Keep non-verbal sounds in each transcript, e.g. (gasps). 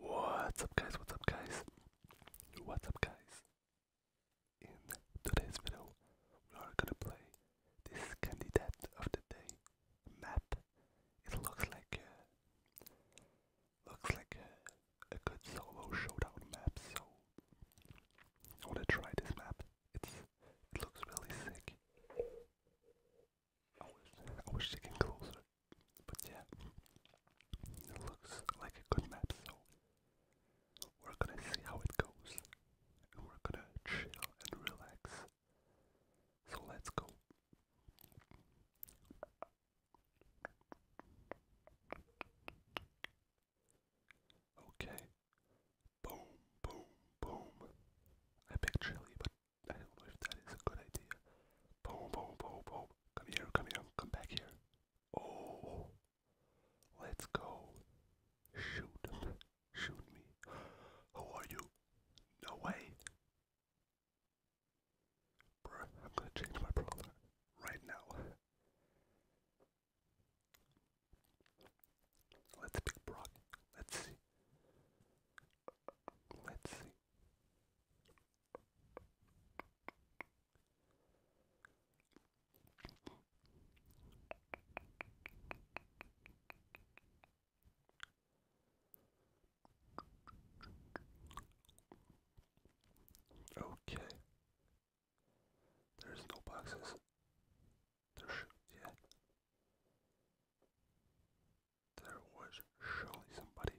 What's up guys, what's up guys, what's up guys? In today's video, we are gonna play this candidate of the day map. It looks like looks like a, a good solo showdown map, so I wanna try this map. It's, it looks really sick. I wish I could sticking closer, but yeah, it looks like a good map, so we're gonna see how it goes, and we're gonna chill and relax, so let's go. Okay, boom, boom, boom. I picked chili, but I don't know if that is a good idea. Boom, boom, boom, boom. Come here, come here, come back here. Oh, let's go. Shoot, shoot me. Who are you? No way. Bruh, I'm gonna change my brother right now. Let's pick Brock. Let's see. Let's see. Okay. There's no boxes. There's yeah. There was surely somebody.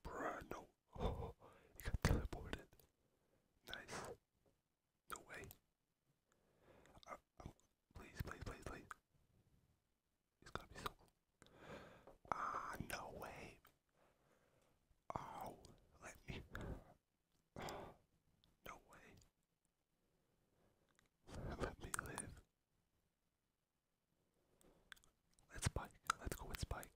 Bruh, no. (laughs) got teleported. Nice. No way. Uh, um, please, please, please, please. It's gonna be so Ah, no way. Oh, let me. No way. (laughs) Let me live. let spike. Let's go with spike.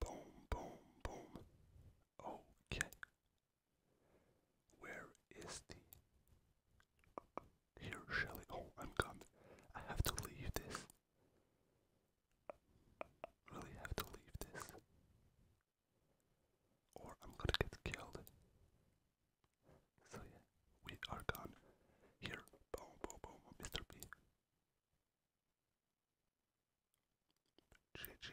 Boom, boom, boom. Okay. Where is the. Here, Shelly. Oh, I'm gone. I have to leave this. Really have to leave this. Or I'm gonna get killed. So, yeah, we are gone. Here, Boom, boom, boom, Mr. B. GG.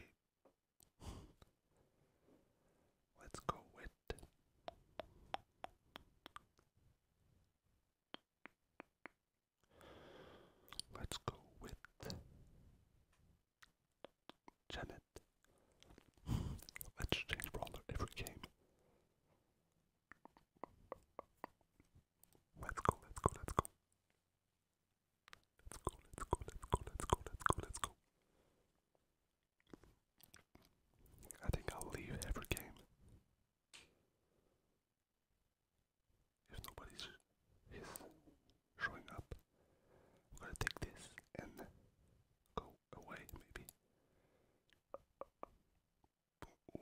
Let's go with. Let's go with Janet. Let's change brawler every game. Let's go, let's go, let's go. Let's go, let's go, let's go, let's go, let's go, let's go. I think I'll leave every game. If nobody's is showing up, I'm gonna take this and go away, maybe. Ooh.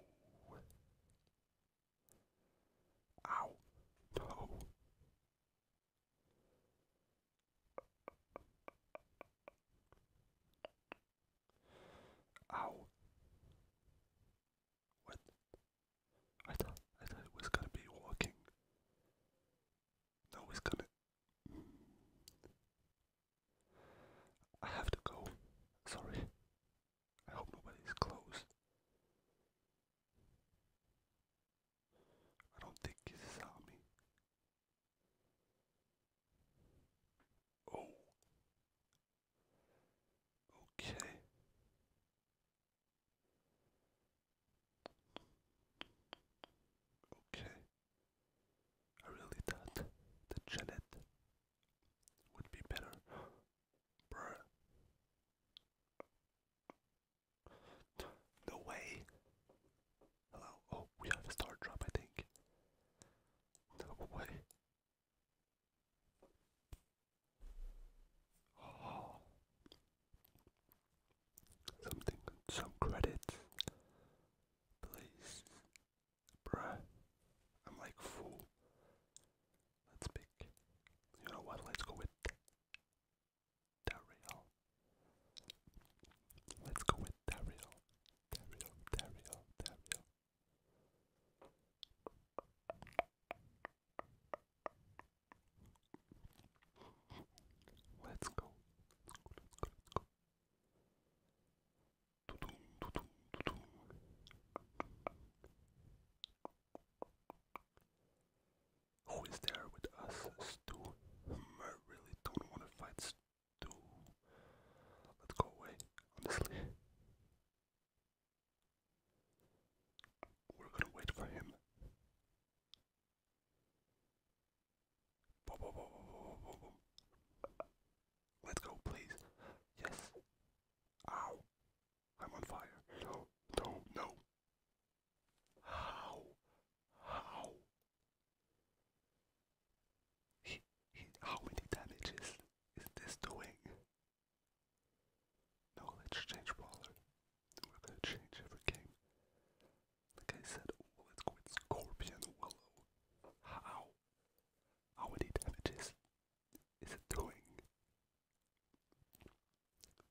Ow. No. Ow. What? I thought I thought it was gonna be walking. No, it's gonna. I have to go. Sorry. I hope nobody's close. I don't think he saw me. Oh. Okay. Okay. I really thought that Janet would be better. No way. Hello. Oh, we have a star drop, I think. No way. (gasps) Something, some credits. Please. Bruh. I'm like fool. Let's pick. You know what? Let's go with Dario. Let's go with Dario. Dario, Dario, Dario. Let's go. Let's go, let's go, let's go. Who is there with us? Stu. I really don't want to fight Stu. Let's go away, honestly. We're gonna wait for him. Boom, Let's go, please. Yes. Ow. I'm on fire. No, no, no. How? How? He, he, how many damages is this doing? No, let's change baller. We're gonna change every game. Like I said, oh, let's go with Scorpion Willow. How? How many damages is it doing?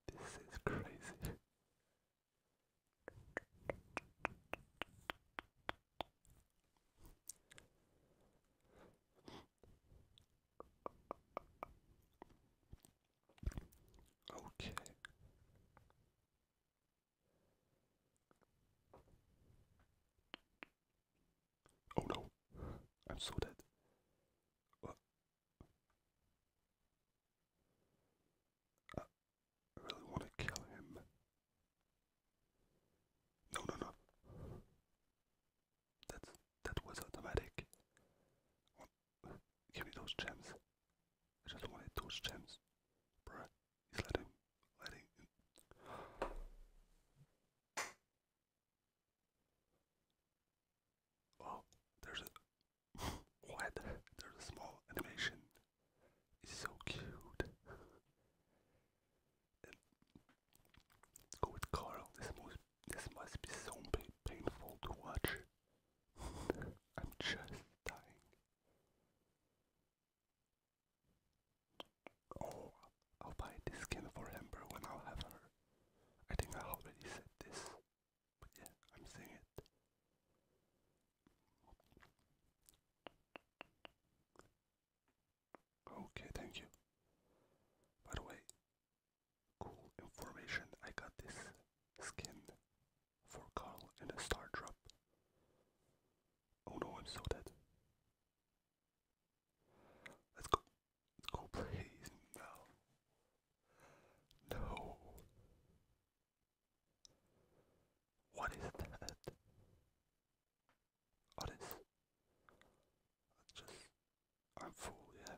This is crazy. Okay. Oh no, I'm so dead. I really want to kill him. No, no, no. That's that was automatic. Give me those gems. I just wanted those gems. Bruh, he's letting, letting. Oh, there's a. (laughs) what? There's a small animation. It's so cute. go with Carl. This must, this must be so painful to watch. (laughs) I'm just dying. Oh, I'll buy this skin for Amber when I'll have her. I think I already said this, but yeah, I'm saying it. Okay, thank you. By the way, Cool information, I got this skin for Carl and a star drop. Oh no, I'm so dead. Let's go. Let's go, please. No. No. What is that? What I'm full, yeah.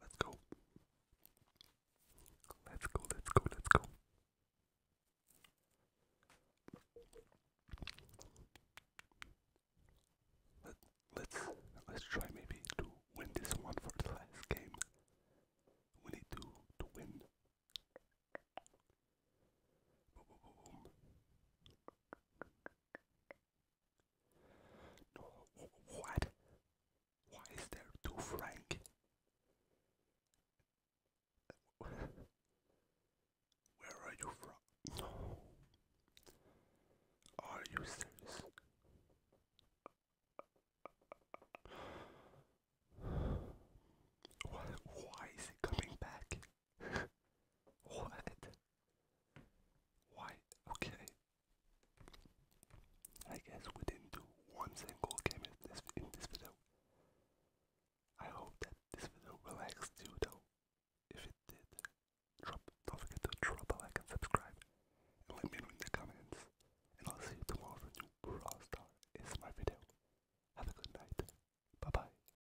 Let's go. Let's go, let's go, let's go. Let, let's let's try maybe to win this one for the last game. We need to to win. No, what? Why is there two Frank? Where are you from? Are you serious? Why is he coming back? what? Why? Okay. I guess we didn't do one single game in this in this video. I hope that this video relaxed you though. If it did, drop don't forget to drop a like and subscribe. let me know in the comments. And I'll see you tomorrow for new Brawl Star ASMR video. Have a good night. Bye bye.